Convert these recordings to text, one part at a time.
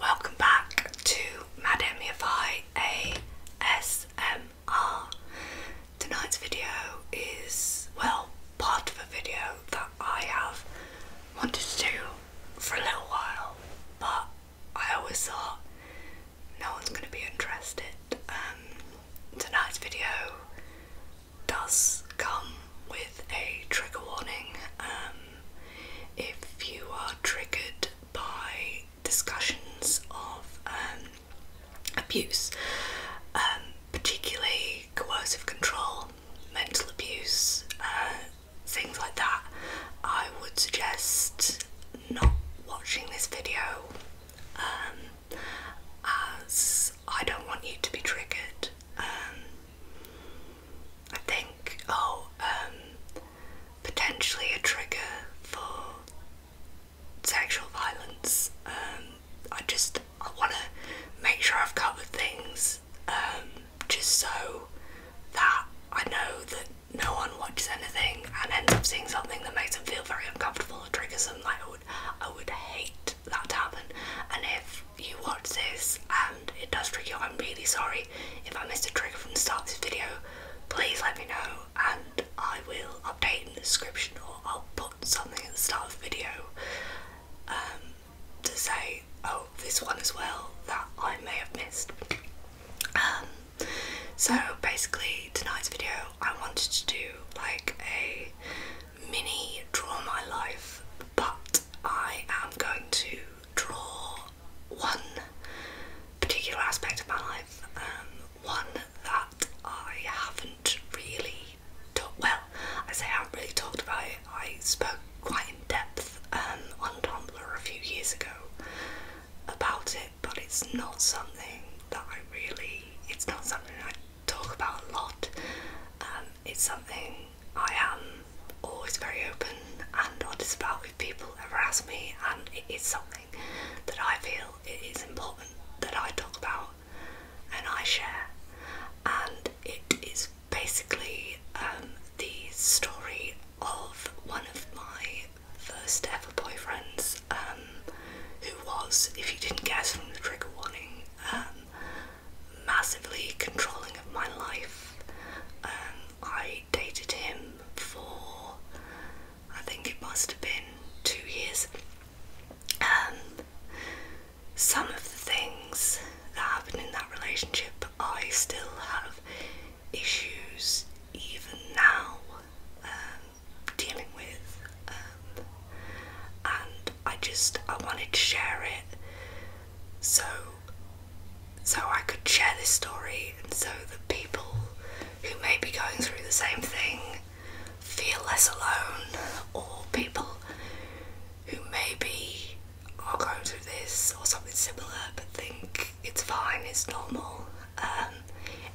Welcome back to Madame ASMR. Tonight's video is, well, part of a video that I have wanted to do for a little while, but I always thought no one's going to be interested. Um, tonight's video does come with a trigger warning. Um, if you are triggered by discussions of um, abuse, particularly coercive control, mental abuse, uh, things like that, I would suggest not watching this video as I don't want you to be triggered. Um, I think, oh, um, potentially a trigger for sexual violence. Um, I just I want to make sure I've covered things um, just so that I know that no one watches anything and ends up seeing something that makes them feel very uncomfortable Trigger triggers them. Like I would, hate that happen. And if you watch this and it does trigger I'm really sorry. If I missed a trigger from the start of this video, please let me know, and I will update in the description, or I'll put something at the start of the video um, to say, oh, this one as well that I may have missed. Um, so basically, tonight's video, I wanted to do like a mini draw my life, but I am going to draw one particular aspect of my life, um, one that I haven't really talked. Well, I say I haven't really talked about I spoke quite in depth um, on Tumblr a few years ago about it, but it's not something that I really, it's not something I talk about a lot. Um, it's something I am always very open and honest about with people ever ask me, and it is something that I feel it is important that I talk about and I share. And it is basically um, the story of one of my first ever boyfriend, um, who was, if you didn't guess from the trigger warning, um, massively controlling of my life. Um, I dated him for, I think it must have been two years. some of the things that happened in that relationship, I still have issues even now dealing with, um, and I just I wanted to share it so so I could share this story, and so the people who may be going through the same thing feel less alone, or people who maybe are oh, going through this or something similar but think it's fine, it's normal. Um,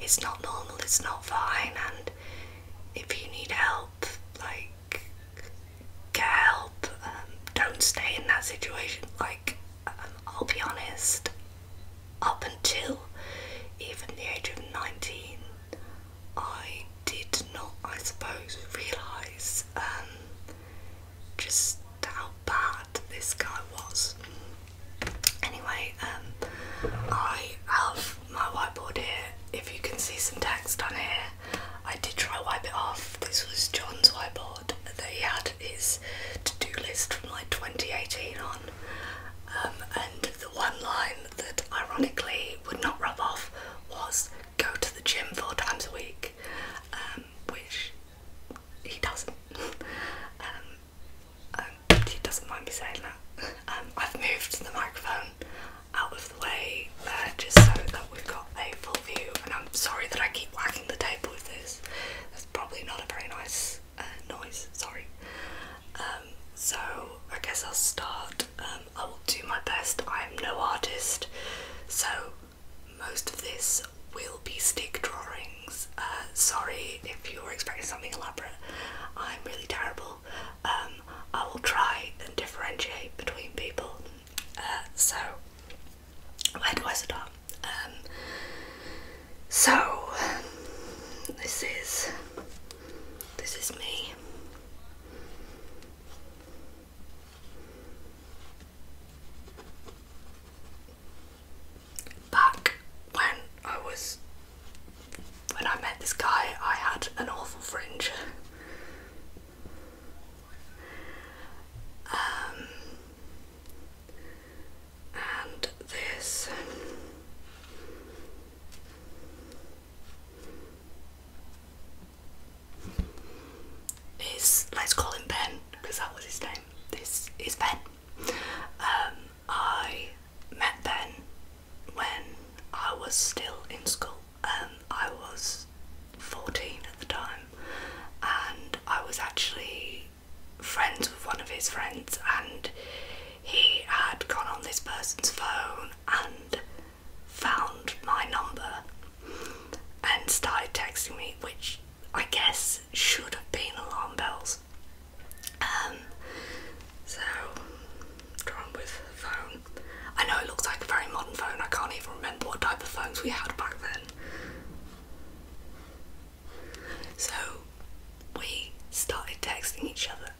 it's not normal, it's not fine, and if you need help, like, get help. Um, don't stay in that situation. Like, um, I'll be honest, up until even the age of 19, I did not, I suppose, realise just how bad this guy was. Anyway, um, I have my whiteboard here. If you can see some text on here, I did try wipe it off. This was John's whiteboard that he had his to-do list from like 2018 on, um, and the one line that ironically would not rub off was go to the gym four times a week, um, which he doesn't. Um, doesn't mind me saying that. Um, I've moved the microphone out of the way uh, just so that we've got a full view. And I'm sorry that I keep whacking the table with this. That's probably not a very nice uh, noise. Sorry. Um, so I guess I'll start. Um, I will do my best. I'm no artist, so most of this will be stick drawings. Uh, sorry if you were expecting something elaborate. I'm really terrible. Um, I will try and differentiate between people. Uh, so, where do I start? Um, so, this is this is me. Back when I was when I met this guy, I had an awful fringe. Um, and this. Is let's call him Ben because that was his name. This is Ben. Um, I met Ben when I was still in school. Um, I was 14 at the time, and I was actually friends with one of his friends, and he had gone on this person's phone and found my number and started texting me, which I guess should have been alarm bells. Um, so, drawn with phone. I know it looks like a very modern phone. I can't even remember what type of phones we had back then. So we started texting each other,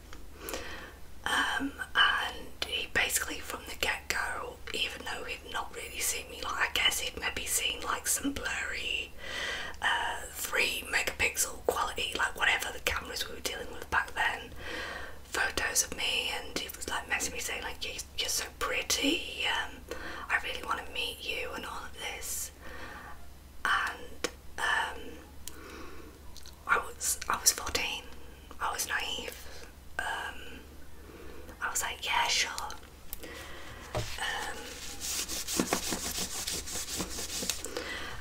um, and he basically from the get go, even though he'd not really seen me, like I guess he'd maybe seen like some blurry uh, three megapixel quality, like whatever the cameras we were dealing with back then, photos of me, and it was like messing me saying like you're, so pretty, um, I really want to meet you, and all of this, and um, I was I was fourteen, I was naive, um, I was like yeah sure.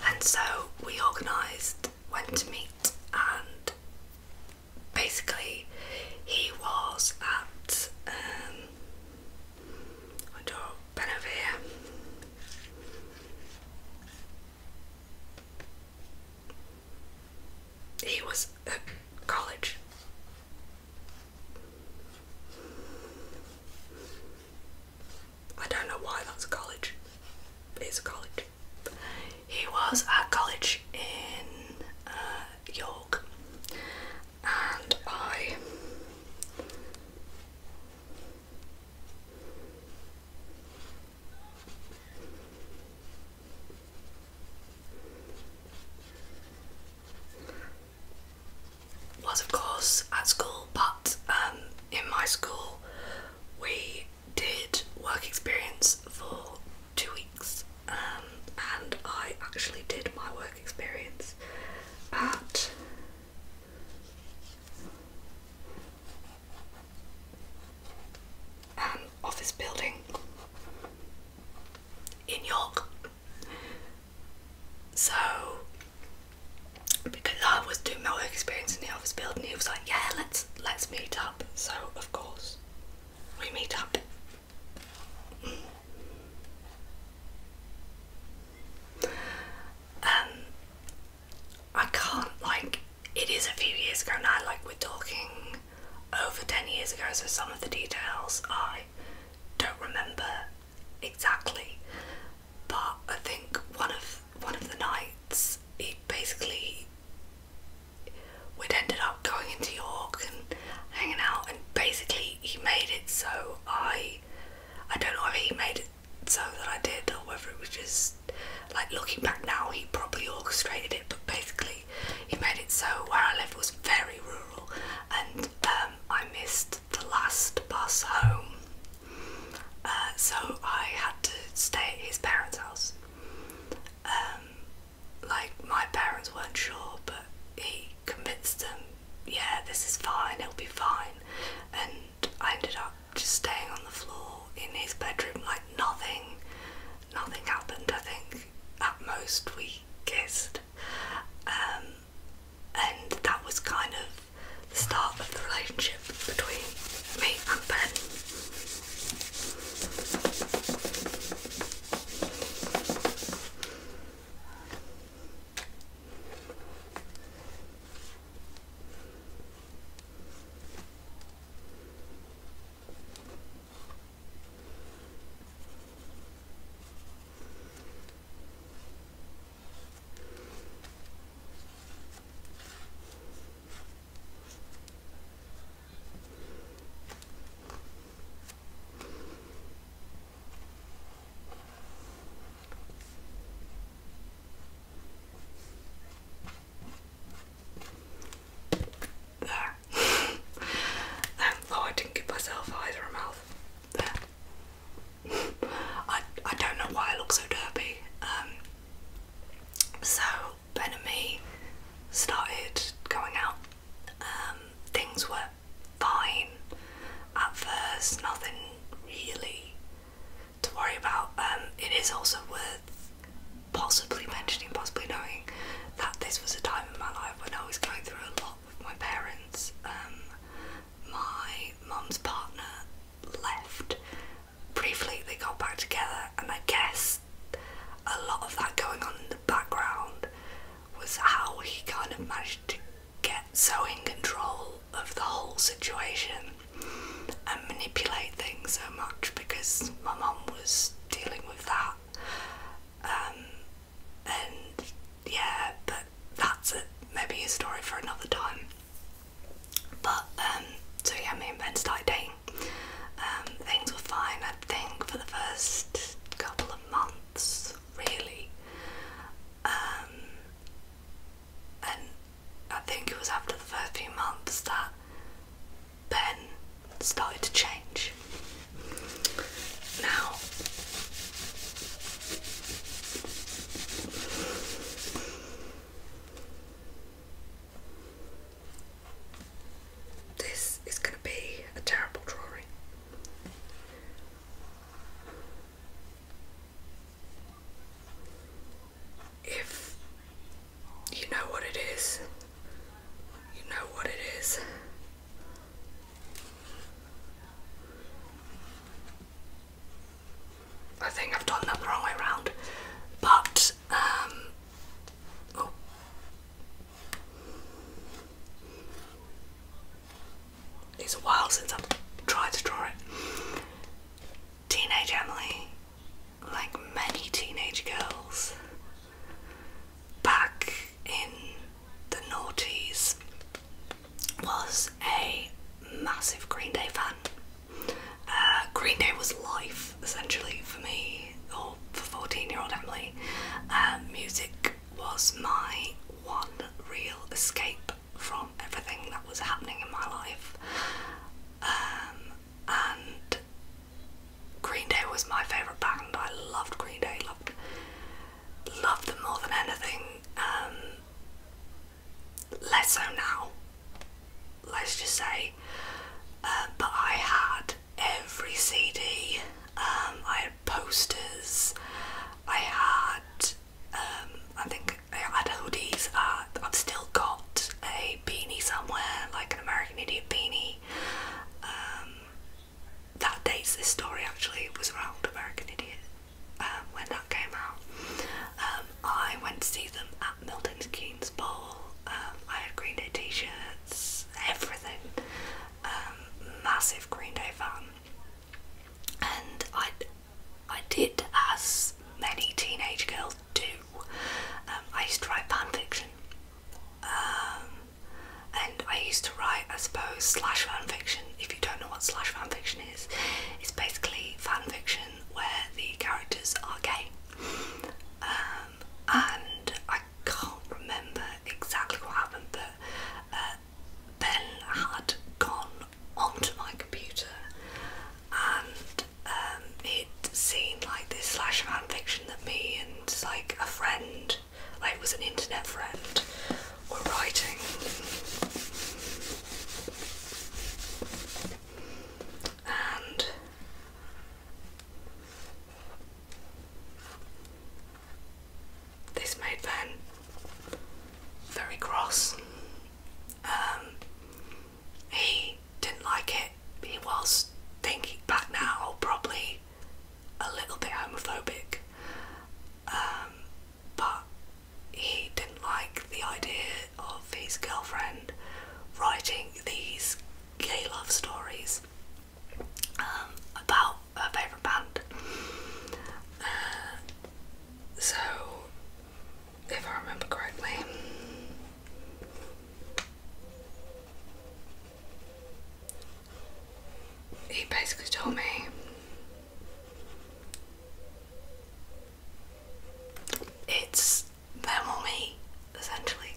and so we organised went to meet, and basically, he was at um, Benavir. He was at college. I don't know why that's a college. It's a college. He was at college in uh, York, and I. Was of course at school, but um, in my school, we did work experience for two weeks, um, and I actually did my work experience at an office building in York. So because I was doing my work experience in the office building. He was like, "Yeah, let's let's meet up." So of course, we meet up. Mm. Um, I can't like. It is a few years ago now. Like we're talking over ten years ago, so some of the details I don't remember exactly. But I think one of one of the nights he basically we'd ended up going into York and hanging out and basically he made it so I I don't know if he made it so that I did or whether it was just like looking back now he probably orchestrated it but basically he made it so where I live was very rural and um, I missed the last bus home, uh, so I had to stay at his parents' house. Um, like, my parents weren't sure, but he convinced them, yeah, this is fine, it'll be fine. And I ended up just staying on the floor in his bedroom, like, nothing, nothing happened. I think at most we kissed. Um, and that was kind of the start of the relationship between me and Ben. There. um, oh, I didn't give myself eyes a mouth. I I don't know why I look so derpy. Um, so Ben and me started going out. Um, things were fine at first, nothing really to worry about. Um, it is also worth possibly mentioning, possibly knowing that this was a time in my life when I was going through a lot with my parents. my mum's partner left briefly they got back together, and I guess a lot of that going on in the background was how he kind of managed to get so in control of the whole situation and manipulate things so much because my mom was dealing with that. Um, and yeah, but that's it. Maybe a story for another time. But um, so yeah, me and Ben started dating. Um, things were fine, I think, for the first couple of months, really. Um, and I think it was after the first few months that Ben started to change. Now, this is going to be a terrible drawing. If you know what it is, you know what it is. I think I've done that the wrong way around. But, um, oh. It's a while since I've tried to draw it. Teenage Emily, like many teenage girls, back in the noughties, was a massive Green Day fan. Uh, Green Day was life essentially for me, or for 14 year old Emily. Uh, music was my one real escape from everything that was happening in my life. Um, and Green Day was my favourite band. I loved Green Day, loved, loved them more than anything. Um, less so now, let's just say. but uh, I had every CD, um, I had posters, I had, um, I think I had hoodies, uh, I've still got a beanie somewhere, like an American Idiot beanie. Um, that dates this story actually, it was around American Idiot. Um, when that came out. Um, I went to see them at Milton Keynes Bowl. Um, I had Green Day t-shirts, everything. massive Green Day fan, and I, I did as many teenage girls do. I used to write fan fiction. and I used to write, I suppose, slash fan fiction. If you don't know what slash fan fiction is, it's basically fan fiction where the characters are gay. Um, and I can't remember exactly what happened, but uh, Ben had gone onto my computer and it um, seemed like this slash fan fiction that me and like a friend, like it was an internet friend, were writing this made Ben very cross. Um, he didn't like it. He was thinking back now, probably a little bit homophobic, um, but he didn't like the idea of his girlfriend writing these gay love stories um, about her favourite band. Uh, so, if I remember correctly, he basically told me it's them or me, essentially.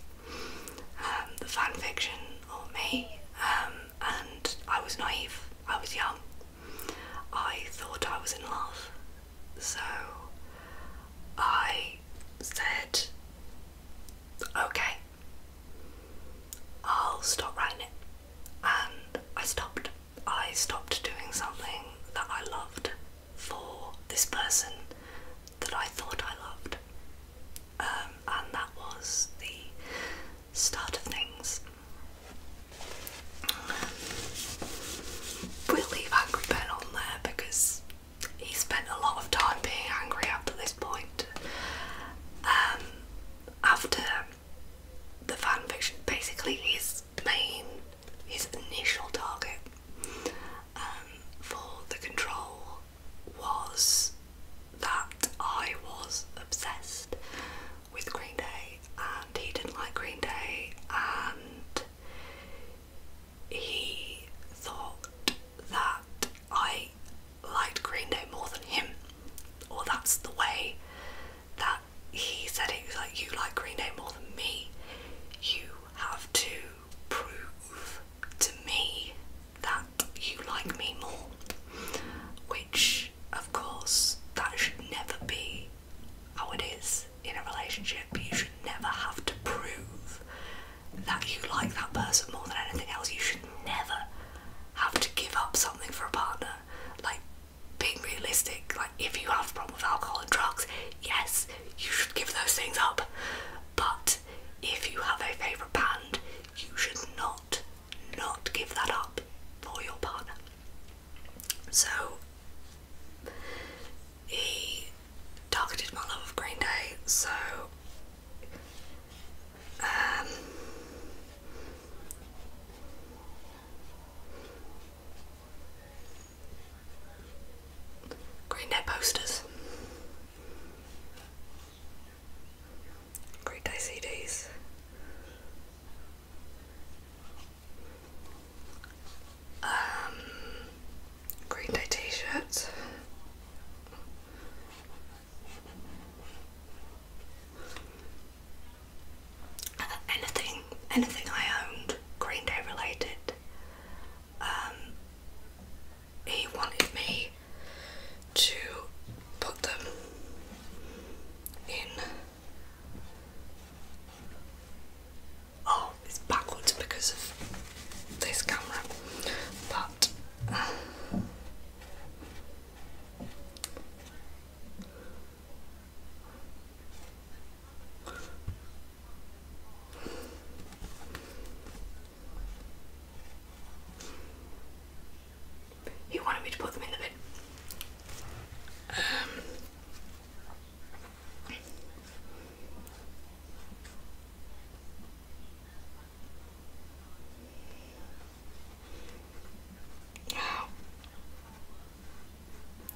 Um, the fan fiction or me, um, and I was naive. I was young. I thought I was in love, so I said, "Okay, I'll stop writing it," and I stopped. I stopped doing something that I loved for this person that I thought I loved. Um, and that was the start of things. Um, we'll leave Angry Ben on there because he spent a lot of time being angry after this point. Um, after the fanfiction, basically his main his initial target um, for the control was that I was obsessed with Green Day and he didn't like Green Day and he thought that I liked Green Day more than him, or that's the way that he said it, he was like, You like Green more than me. You have to prove to me that you like me more. Which, of course, that should never be how it is in a relationship. You should never have to prove that you like that person more than anything else. You should never have to give up something for a partner. Like, being realistic, like if you have a problem with alcohol and drugs, yes, you should give those things up. But if you have a favourite band, you should not, not give that up for your partner. So he targeted my love of Green Day, so um, Green Day posters. Green Day CDs. Um, Green Day t-shirts anything, anything I owned Green Day related. Um, he wanted me to put them in. Oh, it's backwards because of this camera, but. He wanted me to put them in the bin. Um,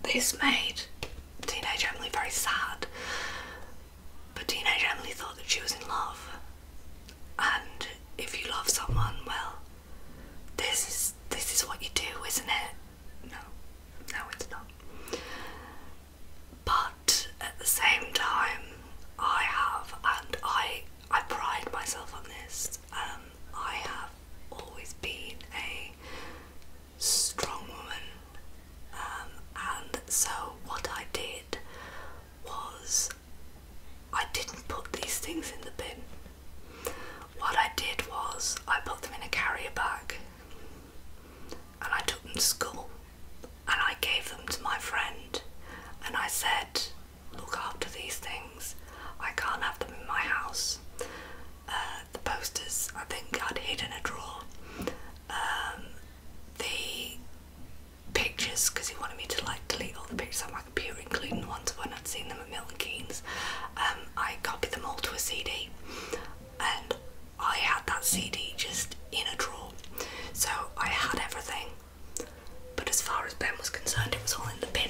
this made Teenage Emily very sad, but Teenage Emily thought that she was in love, and if you love someone, well, this is this is what you do, isn't it? No, no, it's not. But at the same time, I have, and I I pride myself on this. Um, I have always been a strong woman. Um, and so, what I did was I didn't put these things in the bin. What I did was I put them in a carrier bag and I took them to school and I gave them to my friend and I said, Look after these things. I can't have them in my house. Uh, the posters I think I'd hid in a drawer. Um, the pictures, because he wanted me to like delete all the pictures on my computer, including the ones when I'd seen them at Milton Keynes. Um, I copied them all to a CD, and I had that CD just in a drawer. So I had everything, but as far as Ben was concerned, it was all in the bin.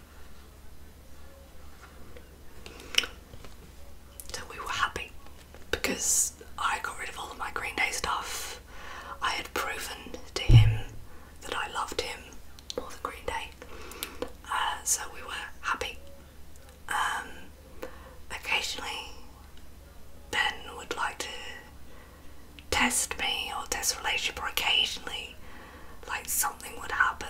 So we were happy because I got rid of all of my Green Day stuff. I had proven to him that I loved him more than Green Day. Uh, so we were happy. Um, occasionally, Ben would like to test me or test relationship, or occasionally, like something would happen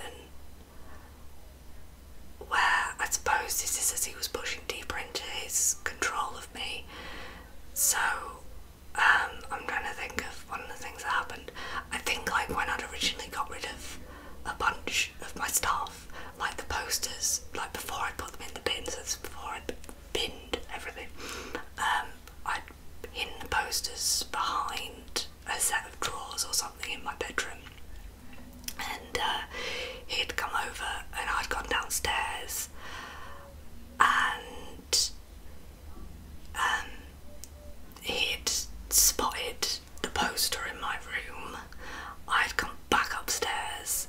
where I suppose this is as he was pushing deeper into his control of me. So um, I'm trying to think of one of the things that happened. I think like when I'd originally got rid of a bunch of my stuff, like the posters, like before I put them in the bins, that's before I'd binned everything, um, I'd hidden the posters behind a set of drawers or something something in my bedroom, and uh, he'd come over, and I'd gone downstairs, and um, he'd spotted the poster in my room. I'd come back upstairs.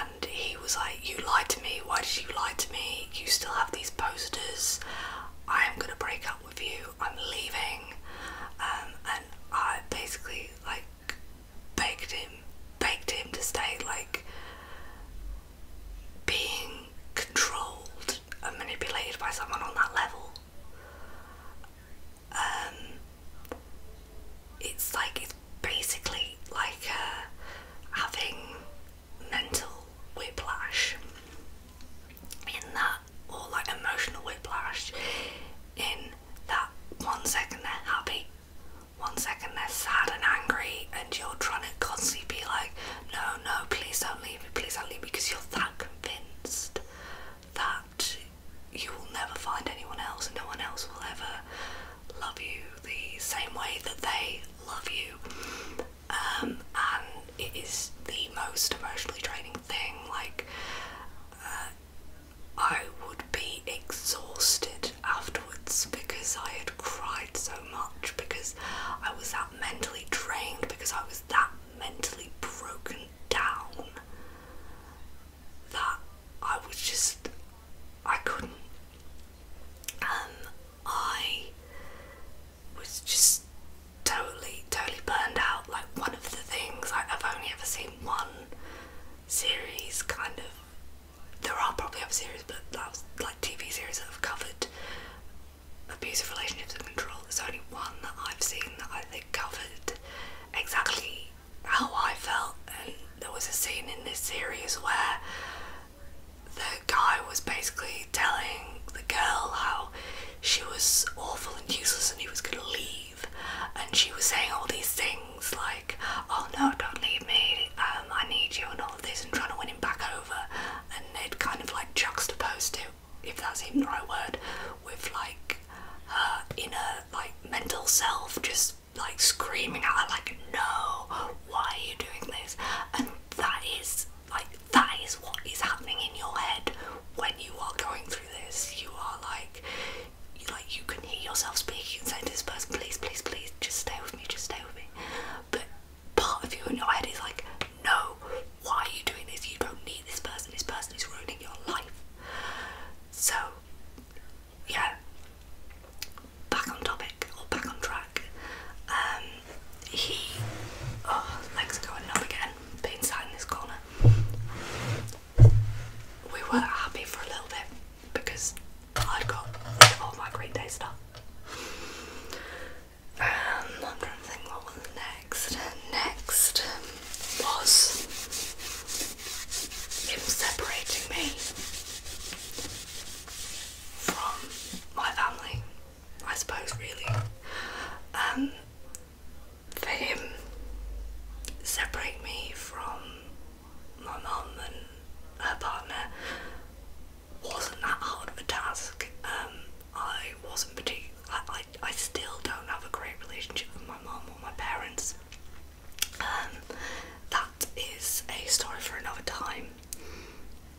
And he was like, You lied to me. Why did you lie to me? You still have these posters. I am going to break up with you. I'm leaving, um, and I basically like begged him, begged him to stay. Like being controlled and manipulated by someone on that level. Um, it's like it's basically like uh, having mental whiplash in that or like emotional whiplash in that one second they're happy, one second they're sad and angry and you're trying to constantly be like, no, no, please don't leave me, please don't leave me because you're that convinced that you will never find anyone else and no one else will ever love you the same way that they love you. Um, and it is the most emotionally draining thing like uh, I would be exhausted afterwards because I had cried so much because I was that mentally drained because I was that mentally broken down that I was just I couldn't um I was just totally, totally burned out. Like one of the things, like I've only ever seen one series kind of. There are probably other series, but that was like TV series that have covered abusive relationships and control. There's only one that I've seen that I think covered exactly how I felt. And there was a scene in this series where the guy was basically telling the girl how she was awful and useless and he was gonna leave and she was saying all these things like oh no don't leave me um, I need you and all of this and trying to win him back over and they'd kind of like juxtaposed it if that's even the right word with like her inner like mental self just like screaming at her like no why are you doing this and that is like that is what is happening in your head when you are going through this. You are like, you like you can hear yourself speaking and saying to this person, please, please, please, just stay with me, just stay with me. But part of you in your head is like, no, why are you doing this? You don't need this person. This person is ruining your life. So, yeah. Back on topic or back on track. Um, he, oh, legs are going up again being sat in this corner. We weren't happy for a little bit because I'd got all my great days stuff. Um, I'm trying to think what was next. Next was him separating me from my family, I suppose, really. Um, fame separate me from my mum and her partner wasn't that hard of a task. Um, I wasn't particularly. I, I still don't have a great relationship with my mum or my parents. Um, that is a story for another time.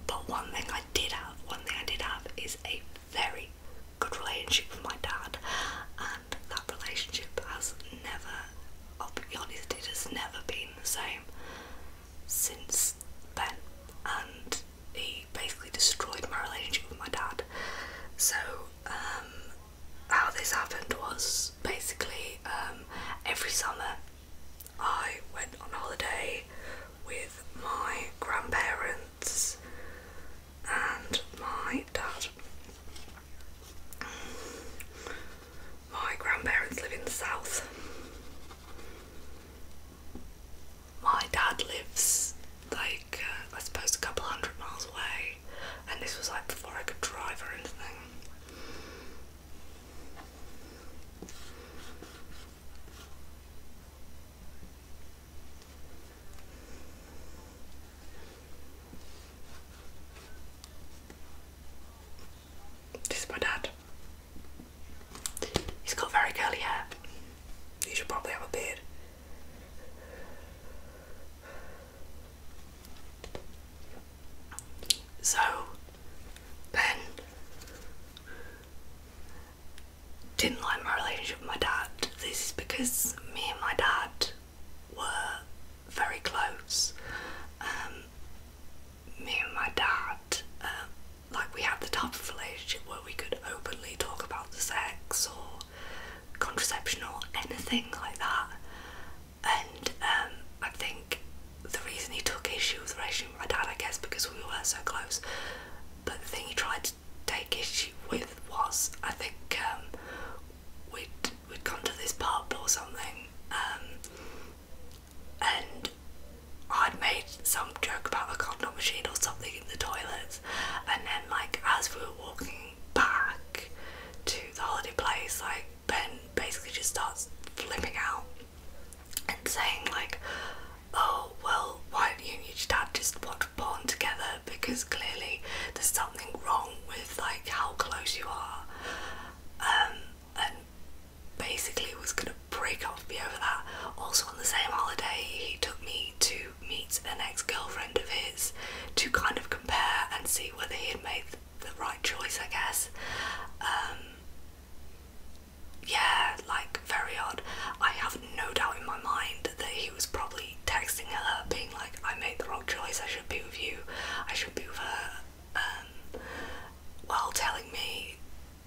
But one thing I did have, one thing I did have is a very, good relationship with my dad, and that relationship has never, I'll be honest, it has never been the same since then. And he basically destroyed my relationship with my dad. So, um, how this happened was basically um, every summer I went on holiday with my grandparents and my dad. My grandparents live in the south. My dad lives like uh, I suppose a couple hundred miles away, and this was like before I could drive or anything. This is my dad. He's got very curly hair. He should probably have a beard. So then didn't like my relationship with my dad. This is because me and my dad were very close. Um, me and my dad, uh, like, we had the type of relationship where we could openly talk about the sex or contraception or anything like that. And um, I think the reason he took issue with the relationship with my dad, I guess, because we were so close. But the thing he tried to take issue with was I think um, we'd we'd come to this pub or something, um, and I'd made some joke about a condom machine or something in the toilets, and then like as we were walking back to the holiday place, like Ben basically just starts flipping out and saying like, "Oh well, why don't you and your just watch born together because clearly there's something wrong with like how close you are. Um, and basically was gonna break off me over that. Also on the same holiday he took me to meet an ex-girlfriend of his to kind of compare and see whether he had made the right choice I guess. Um, yeah, like very odd. I have no doubt in my mind that he was probably texting her, being like, I made the wrong choice, I should be with you, I should be with her, um, while telling me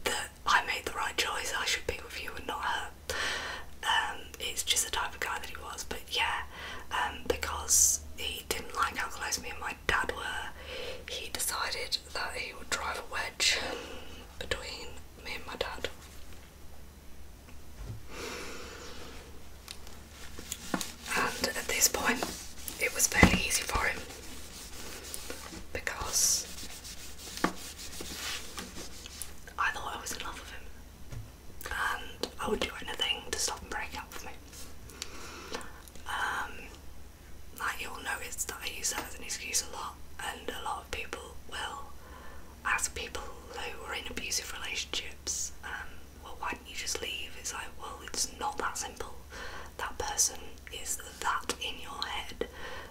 that I made the right choice, I should be with you and not her. Um, it's just the type of guy that he was, but yeah, um, because he didn't like how close me and my dad were, he decided that he would drive a wedge between me and my dad. And at this point, it was fairly easy for him because I thought I was in love with him and I would do anything to stop him breaking up with me. Um, like you all know, notice that I use that as an excuse a lot, and a lot of people will as people who are in abusive relationships, um, well, why don't you just leave? It's like, well, it's not that simple. That person is that in your head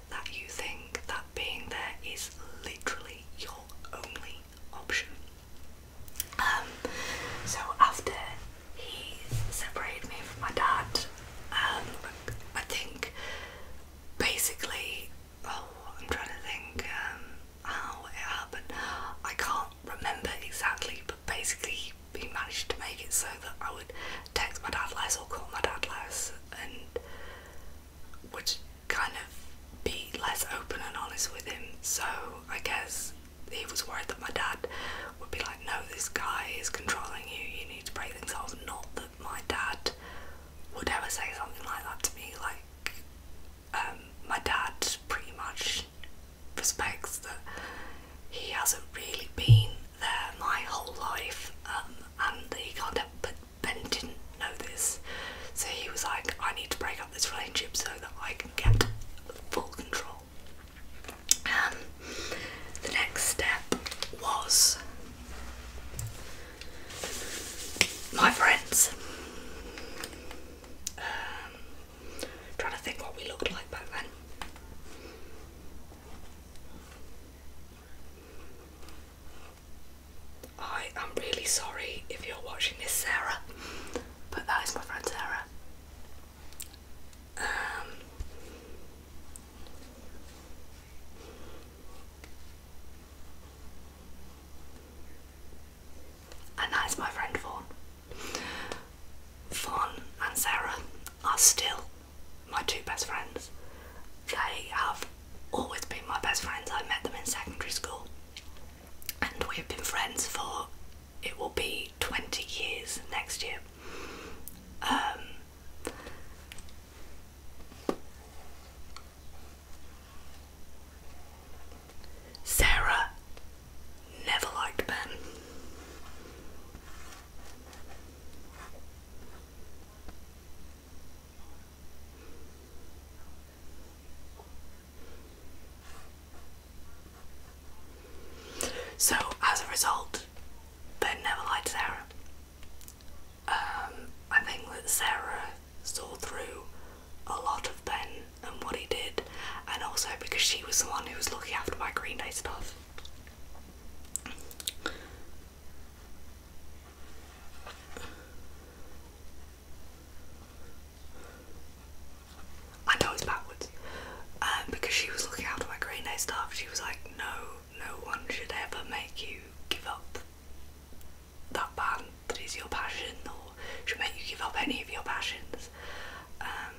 that you think that being there is literally your only option. Um, so after he separated me from my dad, um, I think basically oh, I'm trying to think um, how it happened. I can't remember exactly, but basically he managed to make it so that I would text my dad less or call my dad less and would kind of be less open and honest with him. So I guess he was worried that my dad would be like, no, this guy is controlling you, you need to break things off. Not that my dad would ever say something like that to me. Like, um, my dad pretty much respects that he hasn't really been there my whole life, um, and he can't help but Ben didn't know this, so he was like, I need to break up this relationship so that I can get full control. Um, the next step was my friends. Um, trying to think what we looked like back then. I am really sorry if you're watching this, Sarah, but that is my friend Sarah. Um, and that is my friend Fawn. Fawn and Sarah are still my two best friends. They have always been my best friends. I met them in secondary school and we've been friends for it will be 20 years next year. Um, Sarah never liked Ben. So, as a result, Ben never liked Sarah. Um, I think that Sarah saw through a lot of Ben and what he did, and also because she was the one who was looking after my Green Day stuff. I know it's backwards. Um, because she was looking after my Green Day stuff, she was like, no, no one should ever make you give up that band that is your passion or should make you give up any of your passions. Um,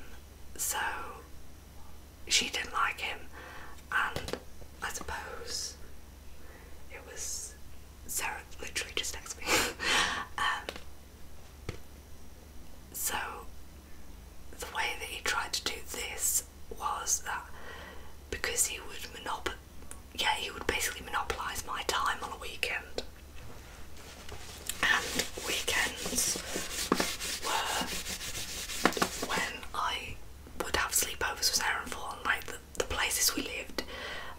so she didn't like him, and I suppose it was Sarah literally just next me. Um, so the way that he tried to do this was that because he would monopolize yeah, he would basically monopolise my time on a weekend. And weekends were when I would have sleepovers with Sarah and Fawn, like the, places we lived.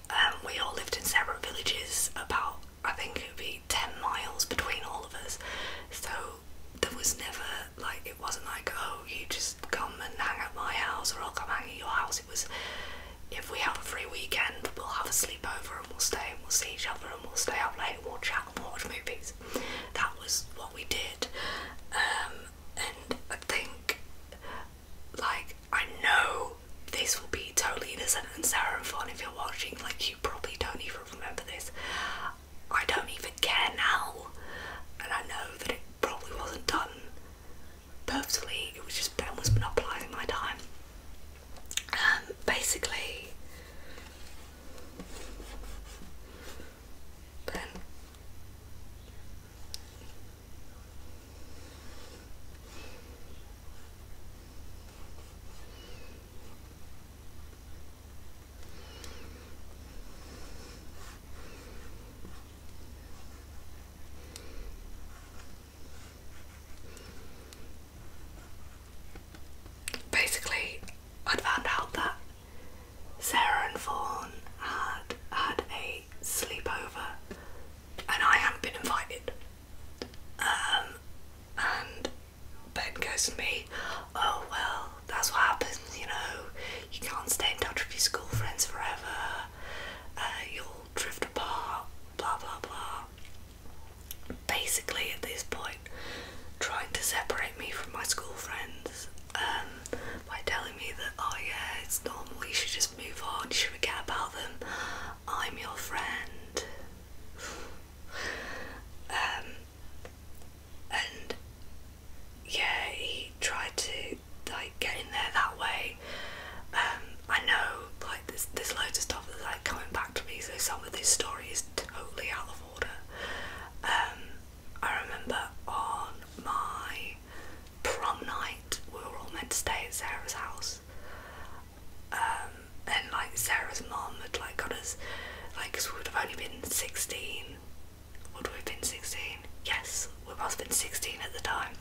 Um, we all lived in separate villages, about I think it would be 10 miles between all of us. So there was never, like, it wasn't like, oh, you just come and hang at my house or I'll come hang at your house. It was if we have a free weekend, we'll have a sleepover and we'll stay and we'll see each other and we'll stay up late and we'll chat and watch movies. That was what we did. Um, and I think, like, I know this will be totally innocent and Sarah and fun if you're watching, like, you probably don't even remember this. I don't even care now, and I know that it probably wasn't done purposely, it was just Ben was monopolising my time. Um, basically, Ben. Basically, i found out that Sarah and Fawn had had a sleepover and I hadn't been invited. Um, and Ben goes me, Oh, well, that's what happens, you know, you can't stay in touch with your school friends forever, uh, you'll drift apart, blah blah blah. Basically, at this point, trying to separate me from my school friends um, by telling me that, oh yeah, it's normal, you should just move on, you should forget about them, I'm your friend. Um, and yeah, he tried to like getting there that way. Um, I know like there's, there's loads of stuff that's like coming back to me, so some of this story is totally out of order. Um, I remember on my prom night, we were all meant to stay at Sarah's house. Um, and like Sarah's mom had like got us, like, cause we would have only been 16. Would we have been 16? Yes, we must have been 16 at the time,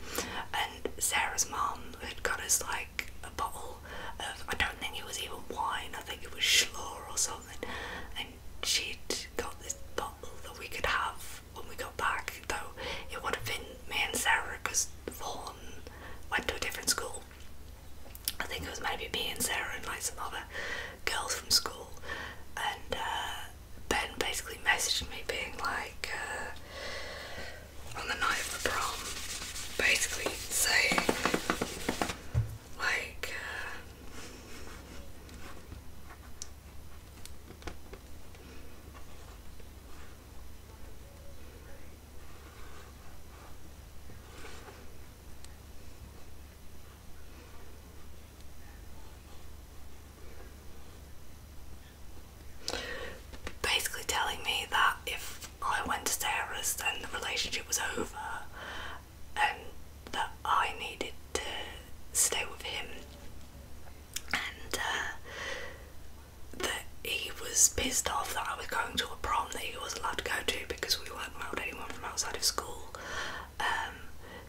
and Sarah's mum had got us like a bottle of, I don't think it was even wine, I think it was Schlor or something, and she'd got this bottle that we could have when we got back, though it would have been me and Sarah because Vaughan went to a different school. I think it was maybe me and Sarah and like some other girls from school, and uh, Ben basically messaged me being like, uh, on the night of the prom, basically saying, like, uh, basically telling me that if I went to Sarah's, then the relationship was over, and that I needed to stay with him, and uh, that he was pissed off that I was going to a prom that he wasn't allowed to go to because we weren't allowed anyone from outside of school. Um,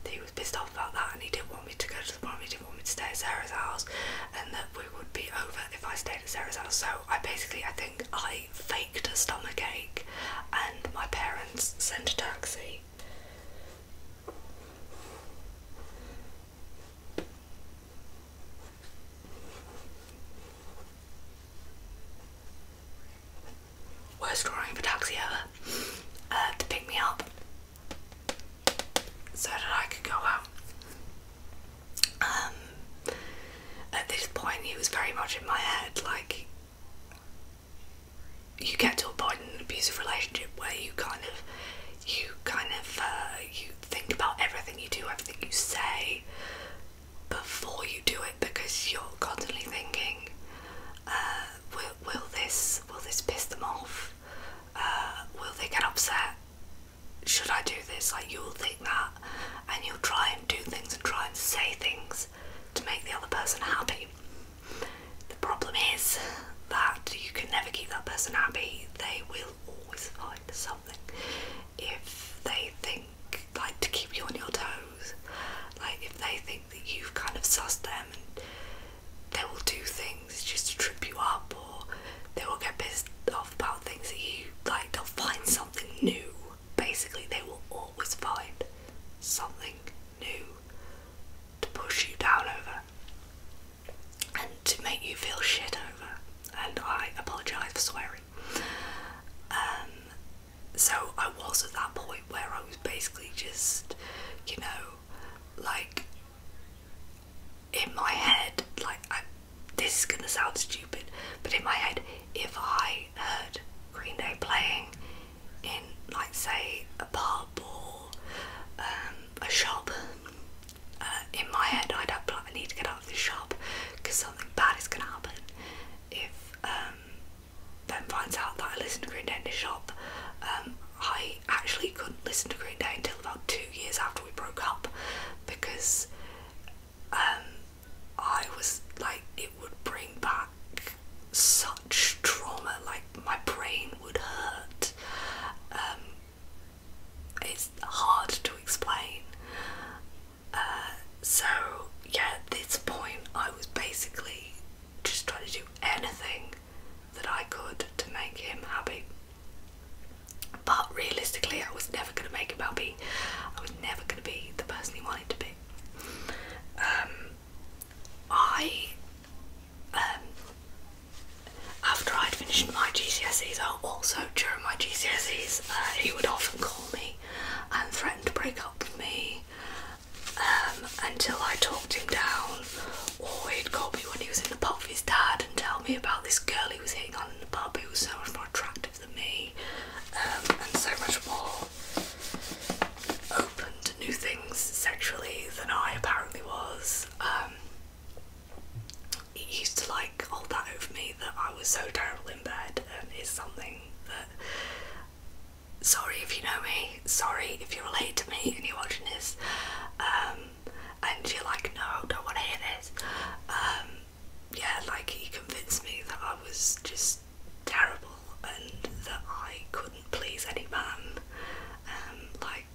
he was pissed off about that, and he didn't want me to go just probably didn't want me to stay at Sarah's house and that we would be over if I stayed at Sarah's house. So I basically, I think I faked a stomach ache and my parents sent a taxi. Worst drawing of taxi ever uh, to pick me up so that I could go out. Um, at this point, he was very much in my head. Like, you get to a point in an abusive relationship where you kind of, you kind of, uh, you think about everything you do, everything you say, before you do it because you're constantly thinking, uh, will, will this, will this piss them off? Uh, will they get upset? Should I do this? Like you'll think that, and you'll try and do things and try and say things to make the other person happy. The problem is that you can never keep that person happy. They will always find something if they think like to keep you on your toes. Like if they think that you've kind of sussed them and they will do things just to trip you up or they will get pissed off about things that you like they'll find something new. Basically they will always find something new to push you down over and to make you feel shit over. And I apologise for swearing. Um, so I was at that point where I was basically just, you know, like in my head, like this is gonna sound stupid, but in my head, if I heard Green Day playing in, like, say, a pub or um, a shop, uh, in my head, I'd have like, I need to get out of this shop because something bad is gonna happen if um, Ben finds out that I listen to Green Day in the shop. Um, I actually couldn't listen to Green Day until about two years after we broke up because um, I was like, it would bring back such trauma, like my brain would hurt. Um, it's hard to explain. Uh, so, yeah, at this point, I was basically just trying to do anything that I could to make him happy. But realistically, I was never going to make him LB. I was never going to be the person he wanted to be. Um, I, um, after I'd finished my GCSEs, I also during my GCSEs, uh, he would often call me and threaten to break up with me um, until I talked him down or he'd call me when he was in the pub with his dad and tell me about this girl he was hitting on in the pub who was so much more attractive than me um, and so much more open to new things sexually than I apparently was. Um, he used to like hold that over me that I was so terrible in bed and it's something that sorry if you know me, sorry if you relate to me and you're watching this. Um, and you're like, no, I don't want to hear this. Um, yeah, like he convinced me that I was just terrible and that I couldn't please any man. Um, like,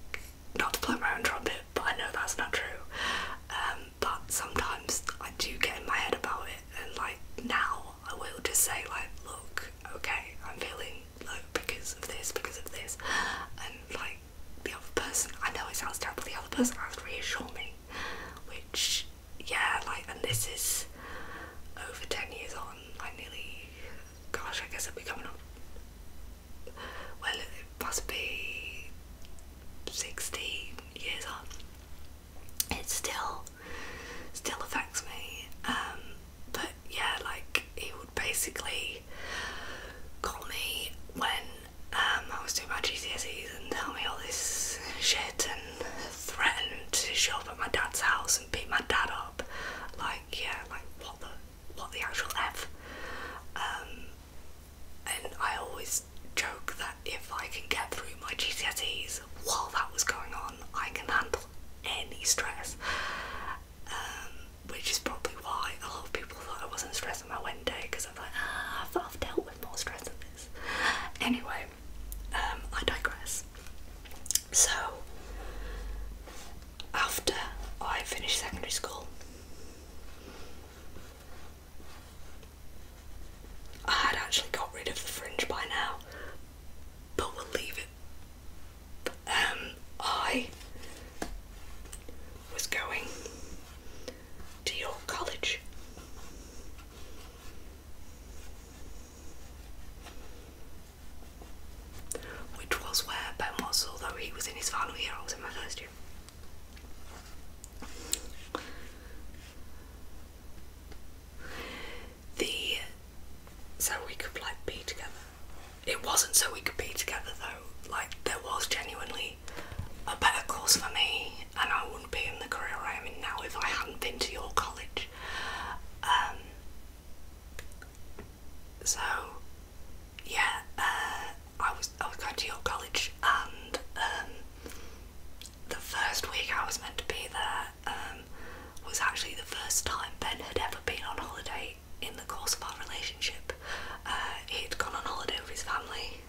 not to blow my own trumpet, but I know that's not true. Um, but sometimes I do get in my head about it, and like now I will just say, like, look, okay, I'm feeling low because of this, because of this, and like the other person. I know it sounds terrible, the other person has to reassure me. Which, yeah, like, and this is over 10 years on. I nearly, gosh, I guess it'll be coming up. Well, it must be sixty years on. It still, still affects me. Um, but yeah, like, he would basically actually me when um, I was doing my GCSEs and tell me all this shit and threatened to show up at my dad's house and beat my dad up. Like, yeah, like what the what the actual f? Um, and I always joke that if I can get through my GCSEs while that was going on, I can handle any stress. Um, which is probably why a lot of people thought I wasn't stressed about Wednesday because I'm like, ah, I've, dealt with more stress than this. Anyway, um, I digress. So, after I finished secondary school, I had actually got rid of the fringe by now, but we'll leave it. Um, I was going to your College. Which was where Ben was, although he was in his final year, I was in my first year. The so we could like be together it wasn't so we could be together though. Like there was genuinely a better course for me, and I wouldn't be in the career I am in now if I hadn't been to your college. Um, so yeah, uh, I was I was going to your college, and um, the first week I was meant to be there um, was actually the first time Ben had ever been on holiday in the course of our relationship, uh, he'd gone on holiday with his family.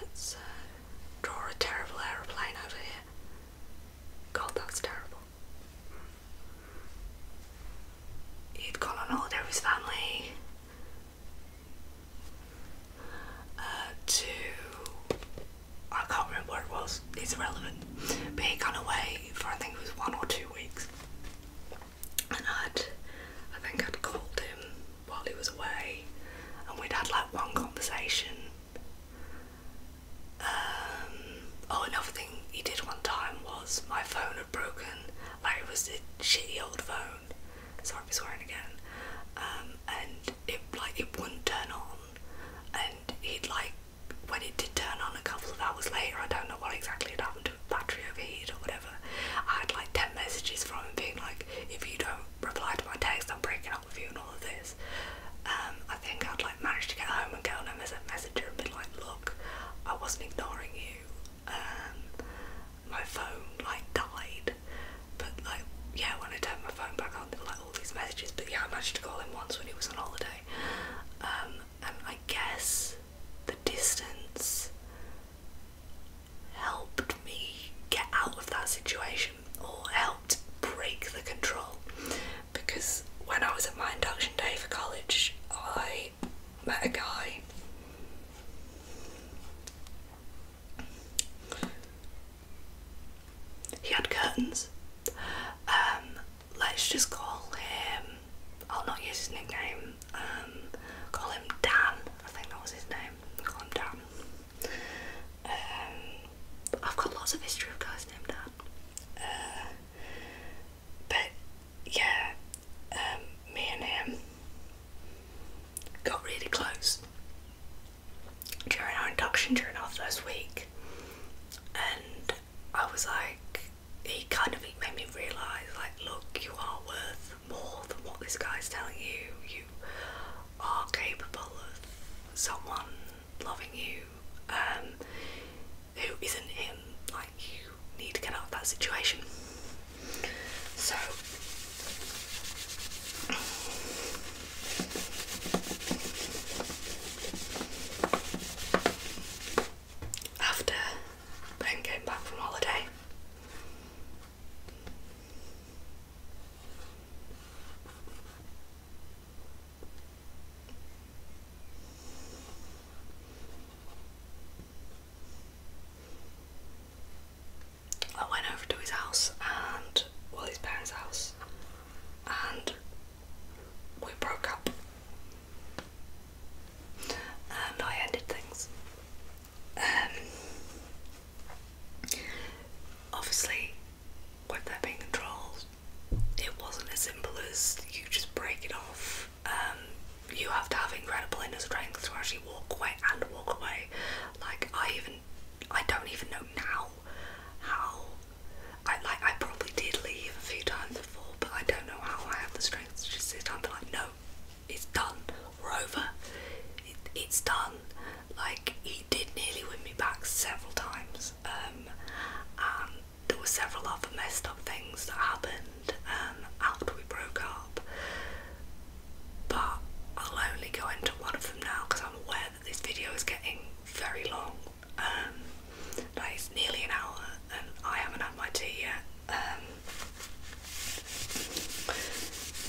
Let's uh, draw a terrible aeroplane over here. God, that's terrible. He'd gone on holiday with his family uh, to. I can't remember where it was, it's irrelevant. But he had gone away for I think it was one or two weeks and I'd I think I'd called him while he was away and we'd had like one conversation. Um, oh another thing he did one time was my phone had broken, like it was a shitty old phone. so Sorry for swearing again. Um, and it like it wouldn't turn on and he'd like when it did turn on a couple of hours later I don't know what exactly had happened to it, battery overheated or whatever I had like 10 messages from him being like, if you don't reply to my text, I'm breaking up with you and all of this. Um, I think I'd like managed to get home and get on a messenger and be like, look, I wasn't ignoring you. Um, my phone like died, but like yeah, when I turned my phone back on, there were like all these messages. But yeah, I managed to call him once when he was on holiday. Um, and I guess the distance helped me get out of that situation or helped break the control because when I was at my induction day for college, I met a guy. He had curtains. Um, let's just call him I'll not use his nickname. Um, call him Dan. I think that was his name. Call him Dan. Um, I've got lots of history of guys named Dan. Uh, but yeah, um, me and him got really close during our induction during our first week, and I was like, he kind of made me realise like look you are worth more than what this guy's telling you. You are capable of someone loving you um, who isn't him. Like you need to get out of that situation. So after I'm back from holiday. I went over to his house and well his parents' house and we broke up and I ended things. Um, obviously, with that being controlled, it wasn't as simple as you just break it off. Um, you have to have incredible inner strength to actually walk away and walk away. Like I even, I don't even know now how. I like I probably did leave a few times before, but I don't know how I have the strength to just sit down and be like, no, it's done. We're over. it's done. Like he did nearly win me back several times. Um, and there were several other messed up things that happened um, after we broke up. But I'll only go into one of them now because I'm aware that this video is getting very long. Um, like it's nearly an hour, and I haven't had my tea yet. Um,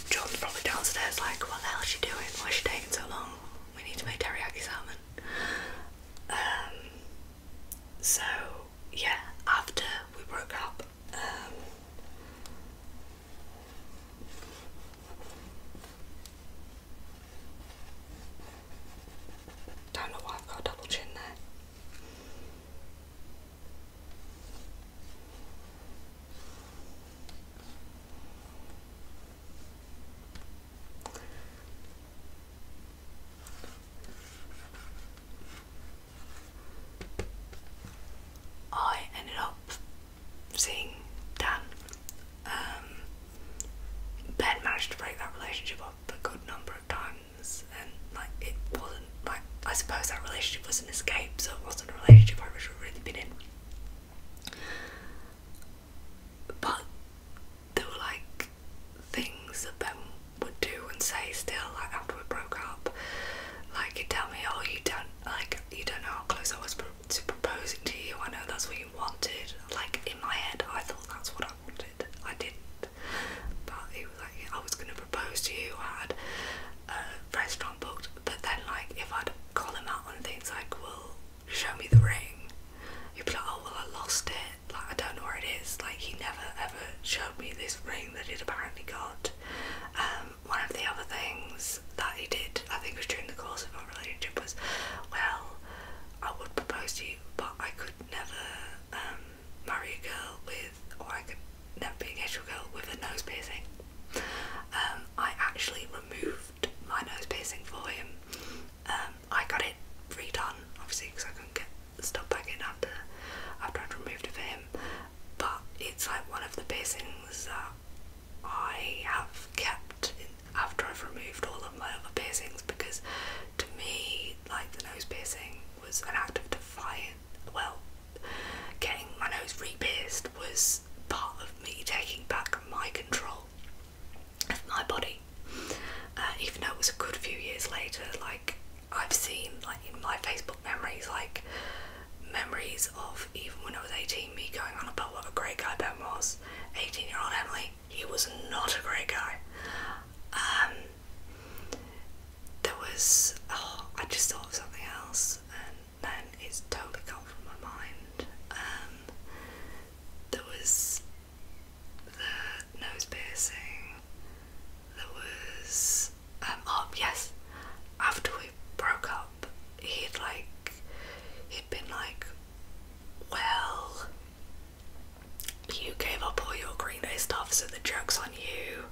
John's probably downstairs like, what the hell is she doing? Why is she taking so long? We need to make teriyaki salmon. Um, so, yeah, after we broke up, um, don't know why i got double chin there. I ended up seeing Dan. Um, ben managed to break that relationship up a good number of times and like it wasn't like I suppose that relationship was an escape so it wasn't a relationship I wish I'd really been in. But there were like things that Ben would do and say still like after we broke up. Like he'd tell me, Oh you don't like you don't know how close I was to proposing to you, I know that's what you wanted. Like in my head I thought that's what I wanted. I didn't but he was like, yeah, I was gonna propose to you. I had a restaurant booked, but then like if I'd call him out on things like, well, show me the ring, he'd be like, oh well, I lost it. Like I don't know where it is. Like he never ever showed me this ring that he'd apparently got. Um, one of the other things that he did, I think, was during the course of our relationship was, well, I would propose to you, but I could never. Um, marry a girl with, or I could never be a girl with a nose piercing. Um, I actually removed my nose piercing for him. Um, I got it redone, obviously, because I couldn't get the stuff back in after after I'd removed it for him. But it's like one of the piercings that I have kept after I've removed all of my other piercings because to me, like the nose piercing was an act of defiance. Well, getting my nose re-pierced was part of me taking back my control of my body. Uh, even though it was a good few years later, like I've seen like in my Facebook memories, like memories of even when I was 18, me going on about what a great guy Ben was. 18 year old Emily, he was not a great guy. Um, there was oh I just thought of something else and then it's totally gone from my mind. Um, there was the nose piercing. There was um, oh yes after we broke up he'd like he'd been like well you gave up all your Green Day stuff so the joke's on you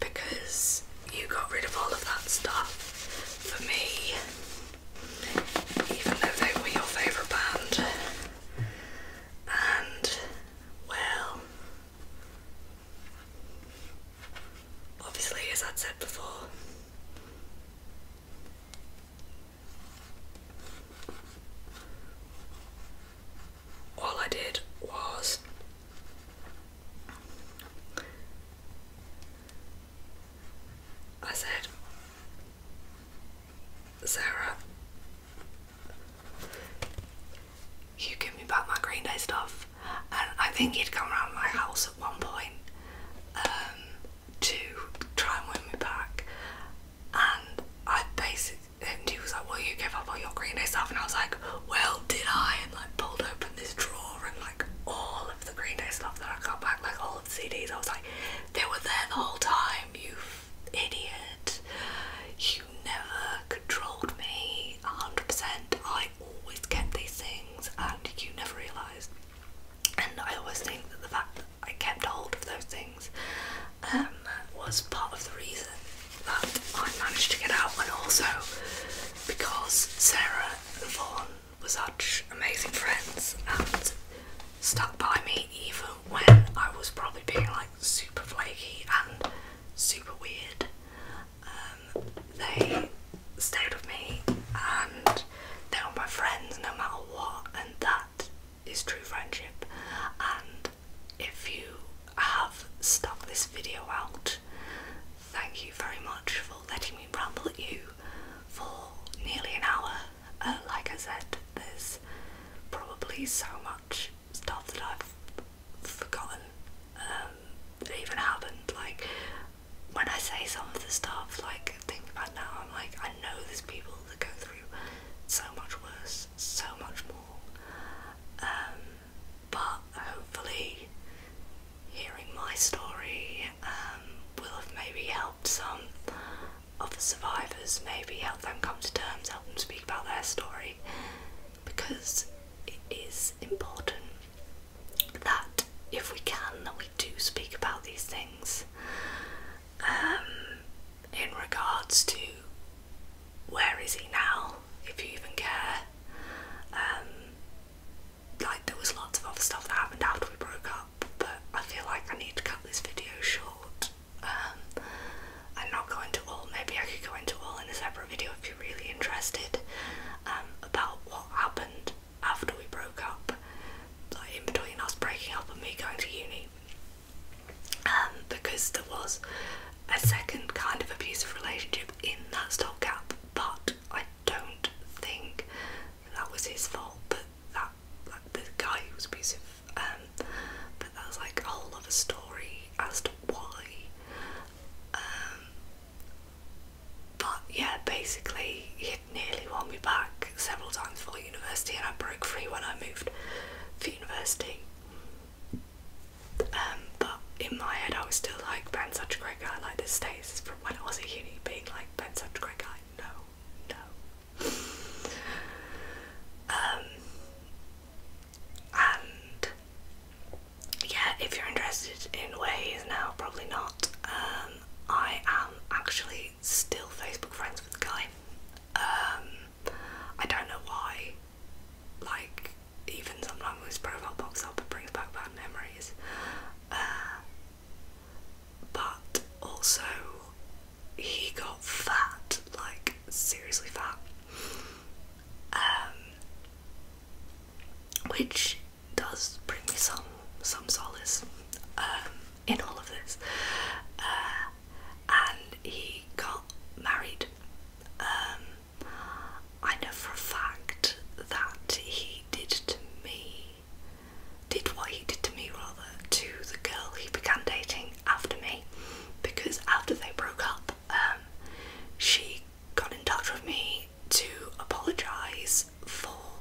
because you got rid of all of that stuff for me. Even though they were your favourite band. And, well, obviously, as I'd said before, all I did was I said, Sarah, you give me back my Green Day stuff. And I think he'd come around my house at one point um, to try and win me back. And I basically, and he was like, Well, you gave up all your Green Day stuff. And I was like, Well, did I? I had like pulled open this drawer and like all of the Green Day stuff that I got back, like all of the CDs, I was like, they were there the whole time, you idiot. You never controlled me 100%. I always kept these things and you never realised. And I always think that the fact that I kept hold of those things um, was part of the reason but I managed to get out, and also because Sarah and Vaughan were such amazing friends and stuck by me even when I was probably being like super flaky and super weird. Um, they stayed with me and they were my friends no matter what, and that is true friendship. And if you have stuck this video out, thank you very much for letting me ramble at you for nearly an hour. Uh, like I said, there's probably so much stuff that I've forgotten um, even happened. Like, when I say some of the stuff, like, thinking about now, I'm like, I know there's people that go through so much worse, so much more. Um, but hopefully hearing my story um, will have maybe helped some of the survivors, maybe help them come to terms, help them speak about their story because it is important that if we can that we do speak about these things um, in regards to where is he now, if you even care. Um, like, there was lots of other stuff that happened after we broke up, but I feel like I need to cut this video short um, and not go into all. Maybe I could go into all in a separate video if you're really interested um, about what happened after we broke up, like in between us breaking up and me going to uni. Um, because there was a second kind of abusive relationship in that stopgap, but I don't think that was his fault. But that, like the guy who was abusive, um, but was like a whole other story as to why. Um, but yeah, basically, he had nearly won me back several times for university, and I broke free when I moved for university. Um, but in my head, I was still like, Ben's such a great guy, like this stays from when I was a uni, being like, Ben's such a great guy. No, no. Um, and yeah, if you're interested in where he is now, probably not. Um, I am actually still Facebook friends with the guy. I don't know why like even sometimes when his profile pops up and brings back bad memories uh, but also he got fat like seriously fat um, which does bring me some some solace um, in all of this uh, and he got married um, I know for a fact that he did to me, did what he did to me rather, to the girl he began dating after me, because after they broke up, um, she got in touch with me to apologise for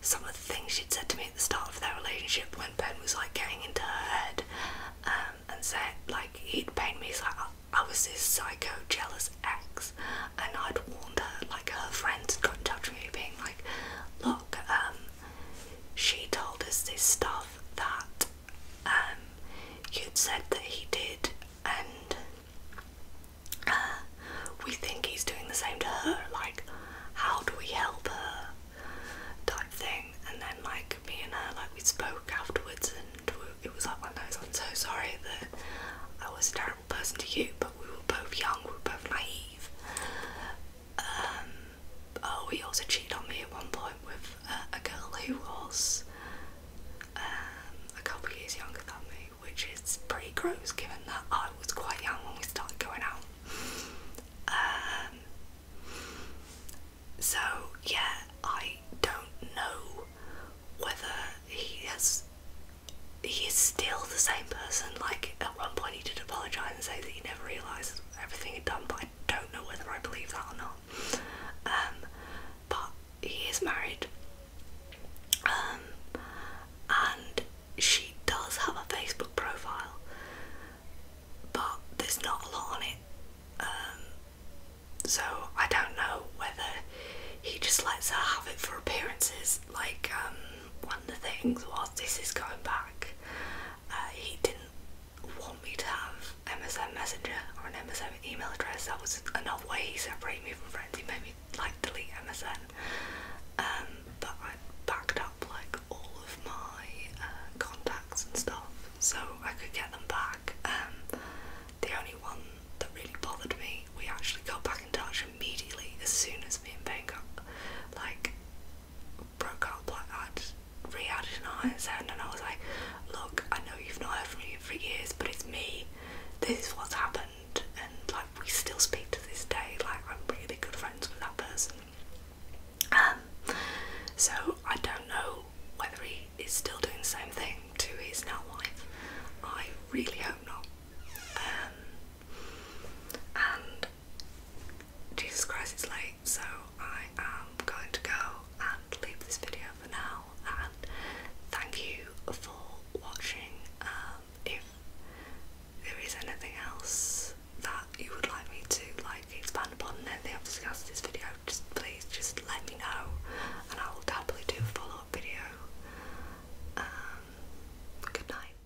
some of the things she'd said to me at the start of their relationship when Ben was like getting into her head um, and said like he'd pain me he's like I was this psycho jealous ex, and I'd warned her. Like her friends got in touch with me, being like, "Look, um, she told us this stuff that um, you'd said that he did, and uh, we think he's doing the same to her. Like, how do we help her?" Type thing, and then like me her, like we spoke afterwards, it was like one of those. I'm so sorry that I was a terrible person to you, but we were both young, we were both naive. Um, oh, he also cheated on me at one point with uh, a girl who was um, a couple of years younger than me, which is pretty gross given that I was quite young when we started going out. Um, so, yeah, I don't know whether he has he is still the same person. Like at one point he did apologize and say that he never realized everything he'd done, but I don't know whether I believe that or not. Um, but he is married, um, and she does have a Facebook profile, but there's not a lot on it. Um, so I don't know whether he just lets her have it for appearances. Like um, one of the things was this is going back. Uh, he didn't want me to have MSN Messenger or an MSN email address. That was another way he separated me from friends. He made me like delete MSN. Um, but I backed up like all of my uh, contacts and stuff so I could get them back. Um, the only one that really bothered me, we actually got back in touch immediately as soon as me and Ben got like broke up like I'd re-added an ISN and I was like, look, I know you've not heard from me for years, but it's me. This is what's happened and like we still speak to this day, like I'm really good friends with that person. Um so I don't know whether he is still doing the same thing to his now wife. I really hope not. Um, and Jesus Christ, it's late, so I am going to go and leave this video for now. And thank you for watching. Um, if there is anything else that you would like me to like expand upon, and anything I've discussed in this video, just please just let me know and I will happily do a follow up video. Um, good night.